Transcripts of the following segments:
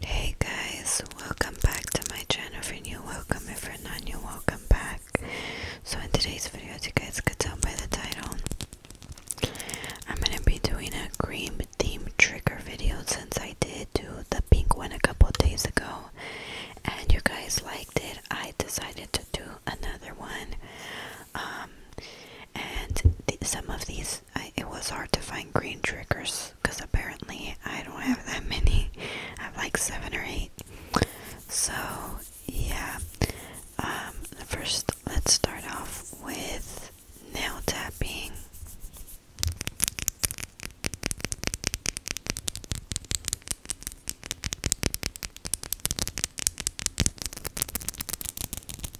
Hey guys, welcome back to my channel. If new, welcome. If new, welcome back. So in today's video, as you guys could tell by the title, I'm gonna be doing a green theme trigger video since I did do the pink one a couple days ago, and you guys liked it. I decided to do another one. Um, and some of these it was hard to find green triggers because apparently I don't have that many. I have like seven or eight. So yeah, um, first let's start off with nail tapping.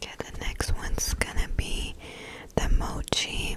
Okay, the next one's gonna be the mochi.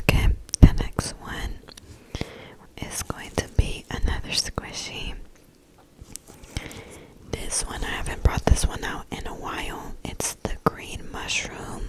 Okay, the next one is going to be another squishy. This one, I haven't brought this one out in a while. It's the green mushroom.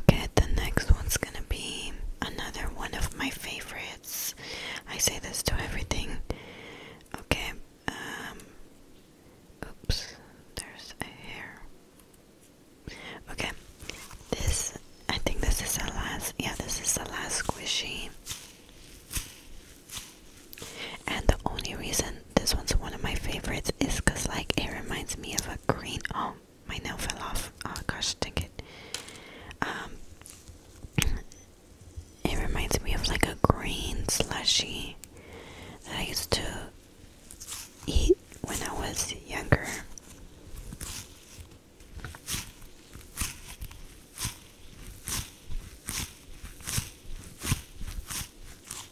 Okay, the next one's gonna be another one of my favorites. I say this to everything. Okay, um, oops, there's a hair. Okay, this, I think this is the last, yeah, this is the last squishy. And the only reason this one's one of my favorites is because, like, it reminds me of a green. Oh, my nail fell off. Oh gosh, dang it. Um, it reminds me of like a green slushy I used to eat when I was younger.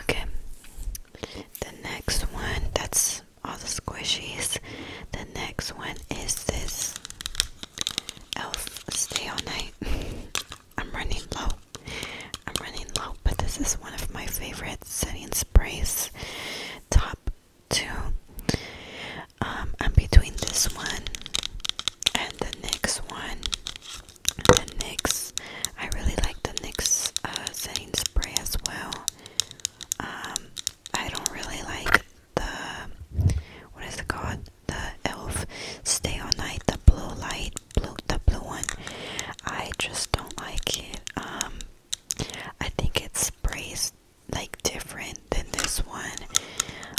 Okay, the next one that's all the squishies. The next one is this elf stay all night. I'm running low. I'm running low, but this is one of my favorite setting sprays. Top two. Um, I'm between this one and the next one. The NYX. I really like the next uh, thing spray as well. Um, I don't really like the what is it called? The Elf Stay All Night, the blue light, blue the blue one. I just don't like it. Um, I think it sprays like different than this one.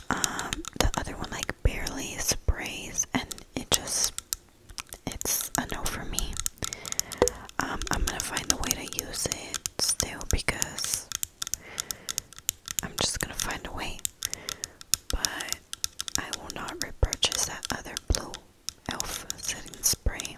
Um, the other one like barely sprays and it just it's a no for me. Um, I'm gonna find a way to use it still because I'm just gonna find a way, but I will not repurchase that other blue elf setting spray.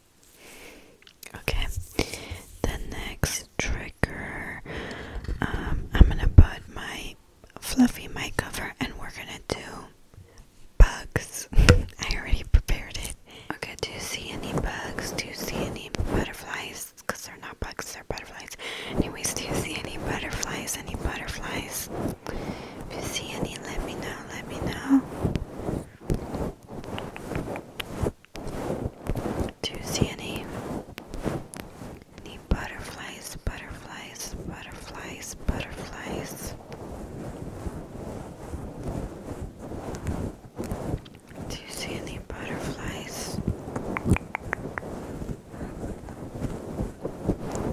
Okay, the next trigger, um, I'm gonna put my fluffy mic over and we're gonna do bugs. I already prepared it. Okay, do you see any bugs? Do you see any butterflies? Because they're not bugs, they're butterflies. Anyways, do you see any butterflies? Any butterflies? If you see any, let me know. Let me know. Do you see any butterflies, butterflies, butterflies, butterflies? Do you see any butterflies?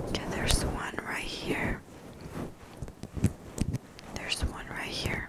Okay, there's one right here. There's one right here.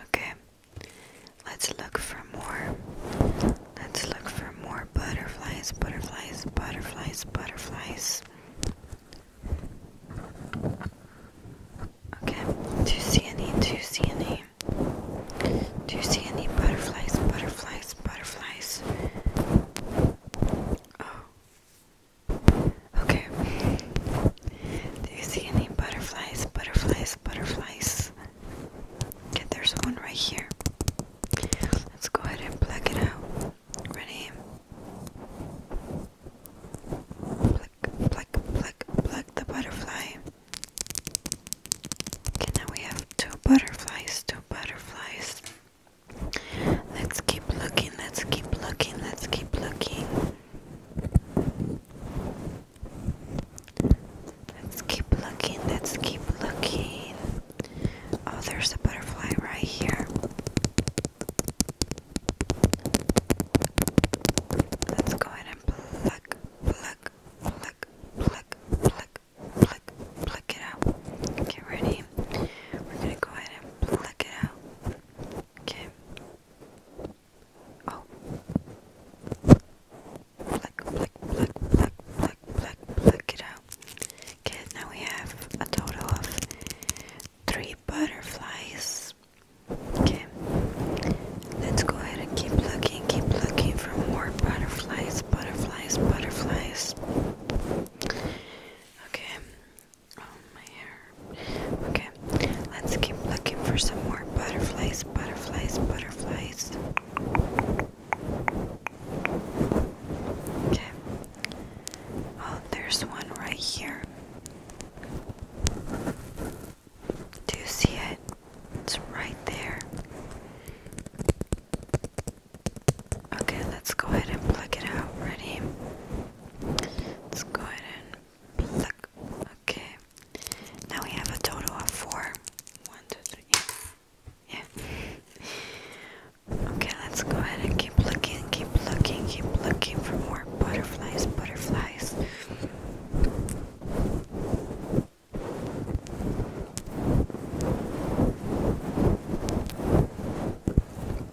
Okay, let's look for more. Let's look for more butterflies, butterflies, butterflies, butterflies. Okay, do you see any? Do you see any? Do you see any butterflies, butterflies, butterflies? Oh, Okay. Do you see any butterflies? Butterflies, butterflies. Okay, there's one right here. Let's go ahead and pluck it out. Ready? Pluck, pluck, pluck, pluck the butterfly. Okay, now we have two butterflies, two butterflies. Let's keep looking, let's keep looking, let's keep looking. Let's keep looking, let's keep looking. Oh, there's a butterfly right here. Let's go ahead and pluck, pluck, pluck, pluck, pluck, pluck, pluck it out. Get ready. We're gonna go ahead and pluck it out. Okay. Oh. Pluck, pluck, pluck, pluck, pluck, pluck, pluck it out. Okay, now we have a total of three butterflies. Okay. Let's go ahead and keep looking, keep looking for more butterflies, butterflies, butterflies. Okay, Oh, my hair. Okay, let's keep looking for some more butterflies, butterflies, butterflies. Okay. Oh, there's one right here. Do you see it? It's right there. Okay, let's go ahead and pluck it out. Ready? Let's go ahead and pluck. Okay. Now we have a total of four. One, two, three. Yeah. Okay, let's go ahead and keep looking, keep looking, keep looking for more butterflies, butterflies.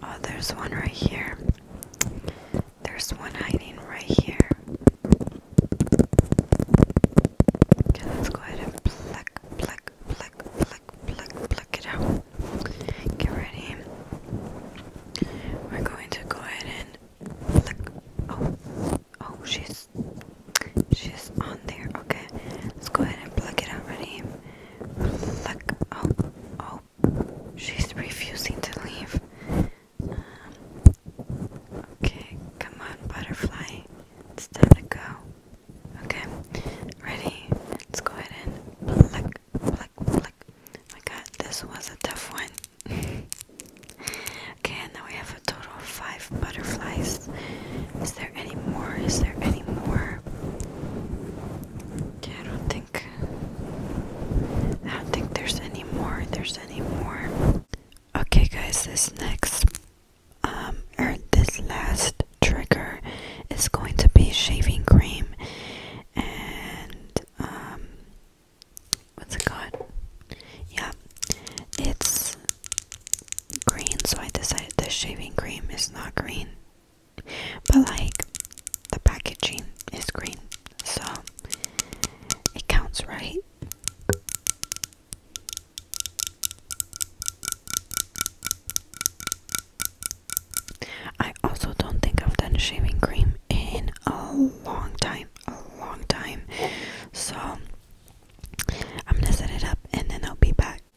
Oh, there's one right here. There's one hiding right here. Okay, let's go ahead and pluck, pluck, pluck, pluck, pluck, pluck it out. Get ready. We're going to go ahead and pluck. Oh, oh, she's she's on there. Okay, let's go ahead and pluck it out. Ready? Look, oh, oh, she's refusing to leave. Um, okay, come on, butterfly. It's time to go. Okay, ready? Let's go ahead and flick, flick, flick. my god, this was a tough one. okay, and now we have a total of five butterflies. Is there any more? Is there any more? Okay, I don't think I don't think there's any more. There's any more. Okay, guys, this next um or this last trigger is going to be shaving cream and um what's it called? Yeah, it's green. So I decided the shaving cream is not green. But like the packaging is green, so it counts, right? I also don't think I've done shaving cream in a long time, a long time. So I'm gonna set it up and then I'll be back.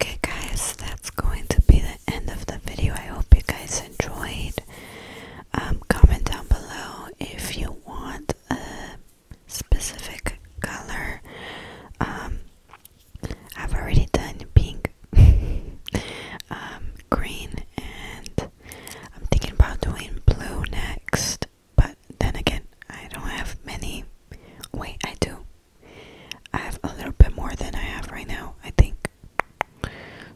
Okay, guys, that's going to be the end of the video. I hope you guys enjoyed. Um, comment down below if you want a specific color. Um, I've already done pink, um, green, and I'm thinking about doing blue next. But then again, I don't have many. Wait, I do. I have a little bit more than I have right now, I think.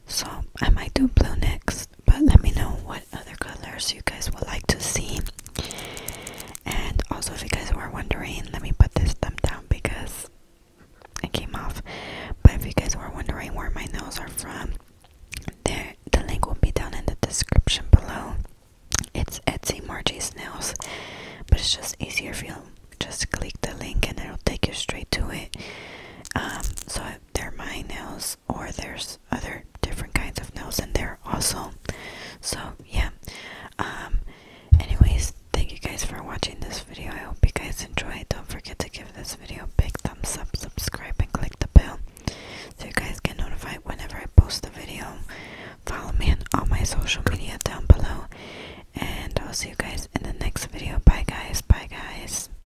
So I might do blue next, but let me know what other colors you guys would like to see. And also, if you guys were wondering, let me put this thumb down because it came off. But if you guys were wondering where my nails are from, there the link will be down in the description below. It's Etsy Margie's Nails, but it's just easier if you just click the link and it'll take you straight to it. Um, so they're my nails or there's other different kinds of nails in there also so yeah um, anyways thank you guys for watching this video i hope you guys enjoyed don't forget to give this video a big thumbs up subscribe and click the bell so you guys get notified whenever i post a video follow me on all my social media down below and i'll see you guys in the next video bye guys bye guys